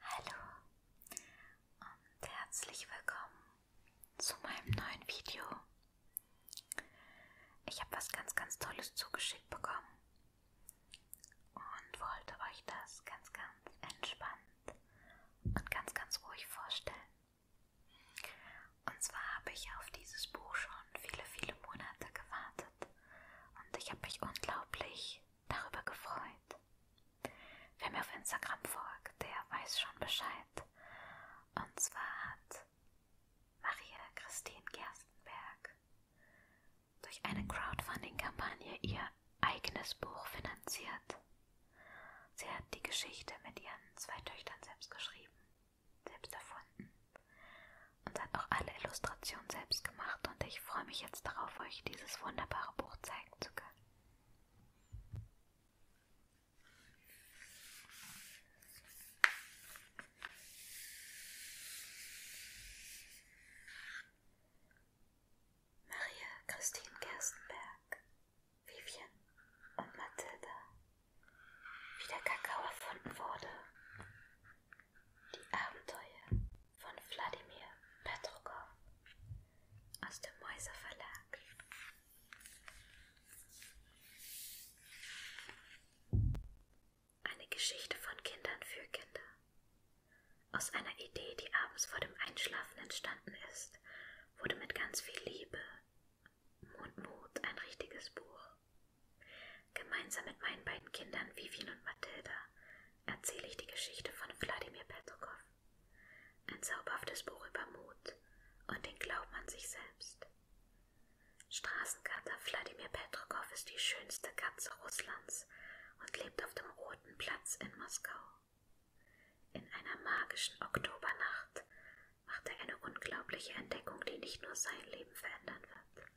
Hallo und herzlich willkommen zu meinem neuen Video. Ich habe was ganz, ganz Tolles zugeschickt bekommen und wollte euch das ganz, ganz entspannt und ganz, ganz ruhig vorstellen. Und zwar habe ich auf dieses Buch schon viele, viele Monate gewartet und ich habe mich unglaublich darüber gefreut. Wer mir auf Instagram folgt, der weiß schon Bescheid. Und zwar hat Maria Christine Gerstenberg durch eine Crowdfunding-Kampagne ihr eigenes Buch finanziert. Sie hat die Geschichte mit ihren zwei Töchtern selbst geschrieben, selbst erfunden und hat auch alle Illustrationen selbst gemacht und ich freue mich jetzt darauf, euch dieses wunderbare Buch zeigen zeigen zu können. Maria Christine Gerstenberg, Vivien und Mathilda, wie der Kakao erfunden wurde, die Abenteuer von Wladimir Petrokow aus dem Mäuser Verlag. Eine Geschichte von Kindern für Kinder. Aus einer Idee, die abends vor dem Einschlafen entstanden ist, wurde mit ganz viel Liebe und Mut ein richtiges Buch. Gemeinsam mit meinen beiden Kindern Vivien und Mathilda erzähle ich die Geschichte von Wladimir Petrokow. Ein zauberhaftes Buch über Mut und den Glauben an sich selbst. Straßenkater Wladimir Petrokow ist die schönste Katze Russlands und lebt auf dem Roten Platz in Moskau. In einer magischen Oktobernacht macht er eine unglaubliche Entdeckung, die nicht nur sein Leben verändern wird.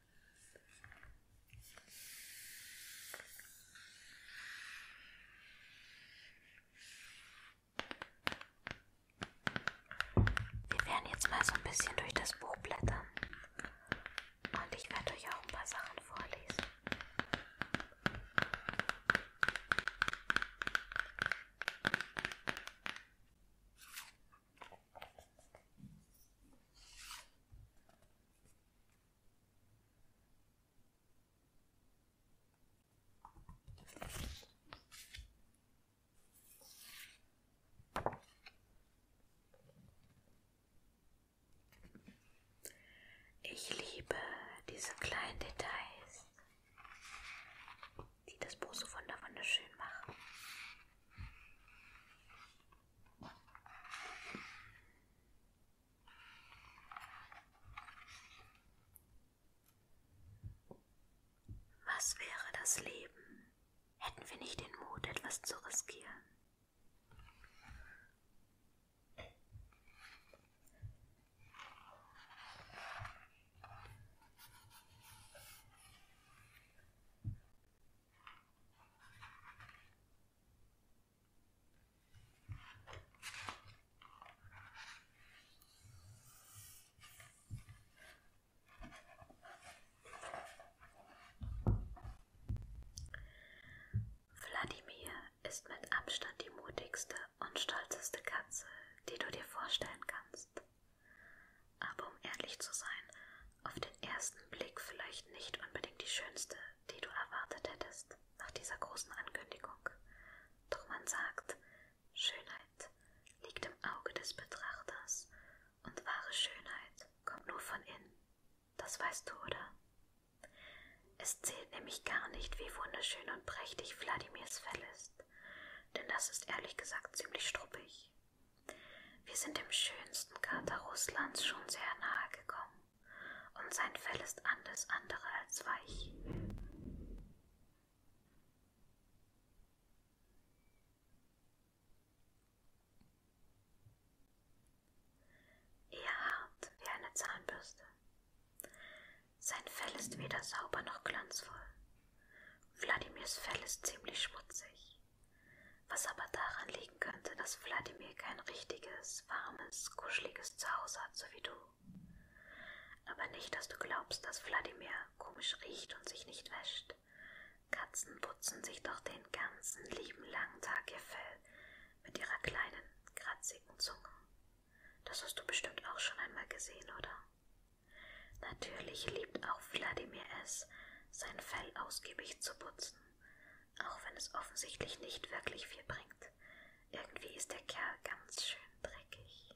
Wir werden jetzt mal so ein bisschen durch das Buch blättern. Und ich werde euch auch ein paar Sachen vorlesen. Ich liebe diese kleinen Details, die das Buch so wunderschön machen. Was wäre das Leben, hätten wir nicht den Mut, etwas zu riskieren? Wladimir ist mit Abstand die mutigste und stolzeste Katze, die du dir vorstellen kannst. Aber um ehrlich zu sein, auf den ersten Blick vielleicht nicht unbedingt die schönste, die du erwartet hättest nach dieser großen Ankündigung. Doch man sagt, Schönheit liegt im Auge des Betrachters und wahre Schönheit kommt nur von innen. Das weißt du, oder? Es zählt nämlich gar nicht, wie wunderschön und prächtig Wladimirs Fell ist, denn das ist ehrlich gesagt ziemlich struppig. Wir sind dem schönsten Kater Russlands schon sehr nahe gekommen und sein Fell ist alles andere als weich. Eher hart wie eine Zahnbürste. Sein Fell ist weder sauber noch glanzvoll. Wladimirs Fell ist ziemlich schmutzig, was aber daran liegt, bestätigen könnte, dass Wladimir kein richtiges, warmes, kuscheliges Zuhause hat, so wie du. Aber nicht, dass du glaubst, dass Wladimir komisch riecht und sich nicht wäscht. Katzen putzen sich doch den ganzen lieben langen Tag ihr Fell mit ihrer kleinen, kratzigen Zunge. Das hast du bestimmt auch schon einmal gesehen, oder? Natürlich liebt auch Wladimir es, sein Fell ausgiebig zu putzen, auch wenn es offensichtlich nicht wirklich viel bringt. Irgendwie ist der Kerl ganz schön dreckig.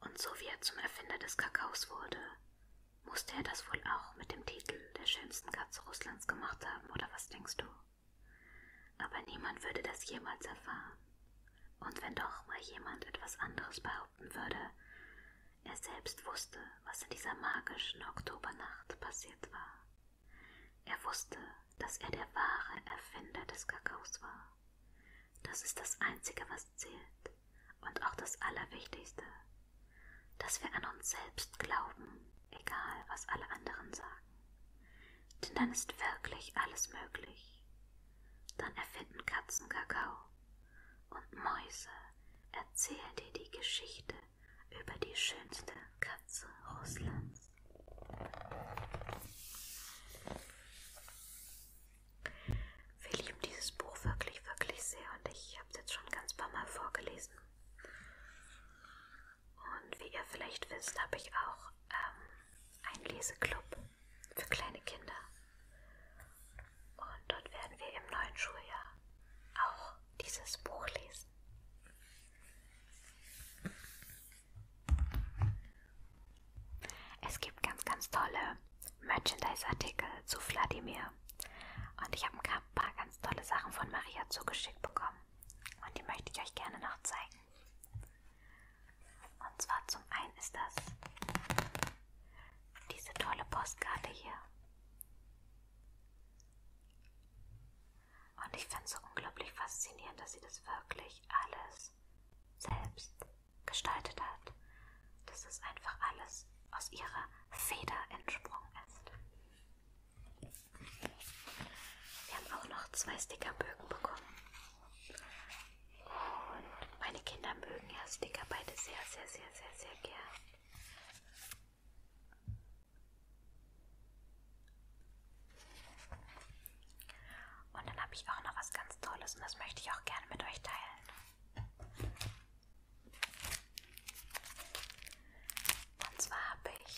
Und so wie er zum Erfinder des Kakaos wurde, musste er das wohl auch mit dem Titel der schönsten Katze Russlands gemacht haben, oder was denkst du? Aber niemand würde das jemals erfahren. Und wenn doch mal jemand etwas anderes behaupten würde, er selbst wusste, was in dieser magischen Oktobernacht passiert war. Er wusste, dass er der wahre Erfinder des Kakaos war. Das ist das Einzige, was zählt und auch das Allerwichtigste, dass wir an uns selbst glauben, egal was alle anderen sagen. Denn dann ist wirklich alles möglich. Dann erfinden Katzen Kakao und Mäuse erzählen dir die Geschichte über die schönste Katze Russlands. Wir lieben dieses Buch wirklich, wirklich sehr und ich habe es jetzt schon ganz paar Mal vorgelesen. Und wie ihr vielleicht wisst, habe ich auch ähm, einen Leseclub für kleine Kinder. Und dort werden wir im neuen Schuljahr auch dieses Buch lesen. Es gibt ganz, ganz tolle Merchandise-Artikel zu Wladimir. Und ich habe ein paar ganz tolle Sachen von Maria zugeschickt bekommen. Und die möchte ich euch gerne noch zeigen. Und zwar zum einen ist das diese tolle Postkarte hier. Und ich finde es so unglaublich faszinierend, dass sie das wirklich alles selbst gestaltet hat. Dass es einfach alles aus ihrer Feder entsprungen ist. Wir haben auch noch zwei Stickerbögen bekommen. Und meine Kinder mögen ja Sticker beide sehr, sehr, sehr, sehr, sehr gern. Und dann habe ich auch noch was ganz Tolles und das möchte ich auch gerne mit euch teilen. Und zwar habe ich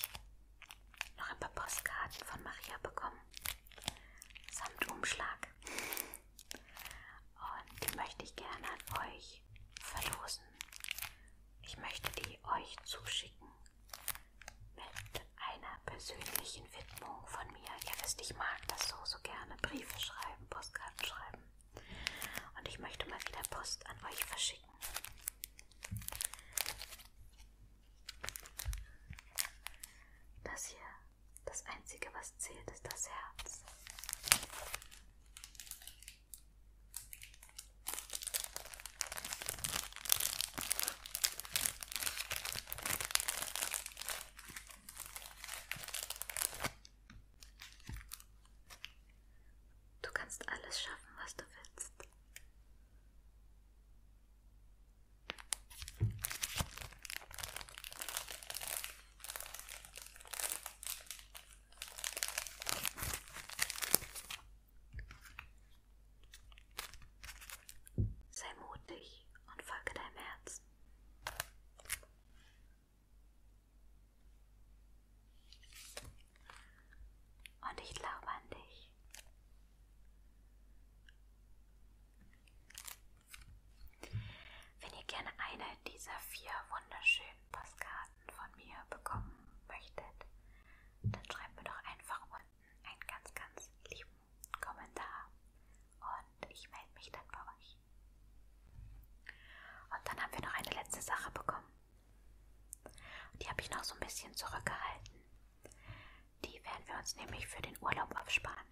noch ein paar Postkarten von Maria bekommen, samt Umschlag. Und die möchte ich gerne an euch verlosen. Ich möchte die euch zuschicken mit einer persönlichen Widmung von mir. Ihr wisst, ich mag das so, so gerne. Briefe schreiben, Postkarten schreiben. Und ich möchte mal wieder Post an euch verschicken. Das hier, das Einzige, was zählt, ist das Herz. Du kannst alles schaffen, was du willst. Sei mutig und folge deinem Herzen. Und ich glaube an dich. Wenn ihr gerne eine dieser vier wunderschönen Postkarten von mir bekommen möchtet, dann schreibt mir doch einfach einen ganz, ganz lieben Kommentar und ich melde mich dann bei euch. Und dann haben wir noch eine letzte Sache bekommen. Die habe ich noch so ein bisschen zurückgehalten. Die werden wir uns nämlich für den Urlaub aufsparen.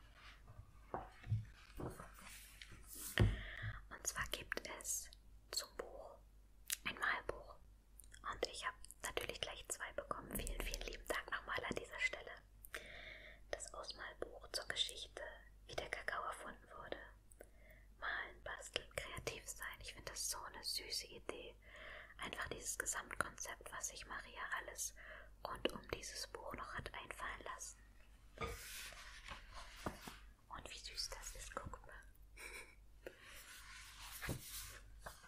Und zwar gibt es zum Buch ein Malbuch. Und ich habe natürlich gleich zwei bekommen. Vielen, vielen lieben Dank nochmal an dieser Stelle. Das Ausmalbuch zur Geschichte, wie der Kakao erfunden wurde. Malen, basteln, kreativ sein. Ich finde das so eine süße Idee. Einfach dieses Gesamtkonzept, was sich Maria alles rund um dieses Buch noch hat einfallen lassen. Und wie süß das ist, guck mal.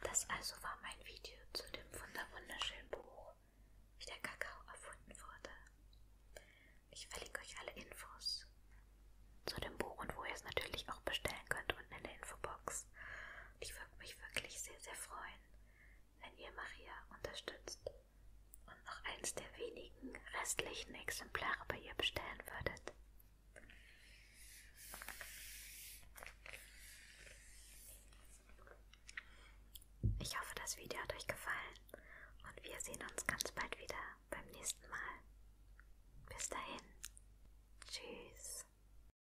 Das also war mein Video zu dem wunderschönen Buch, wie der Kakao erfunden wurde. Ich verlinke euch alle Infos zu dem Buch und wo ihr es natürlich auch bestellen könnt unten in der Infobox. Podcasts. Und ich würde mich wirklich sehr, sehr freuen, wenn ihr Maria unterstützt und noch eins der wenigen restlichen Exemplare bei ihr bestellen würdet. Ich hoffe, das Video hat euch gefallen und wir sehen uns ganz bald wieder beim nächsten Mal. Bis dahin. Tschüss.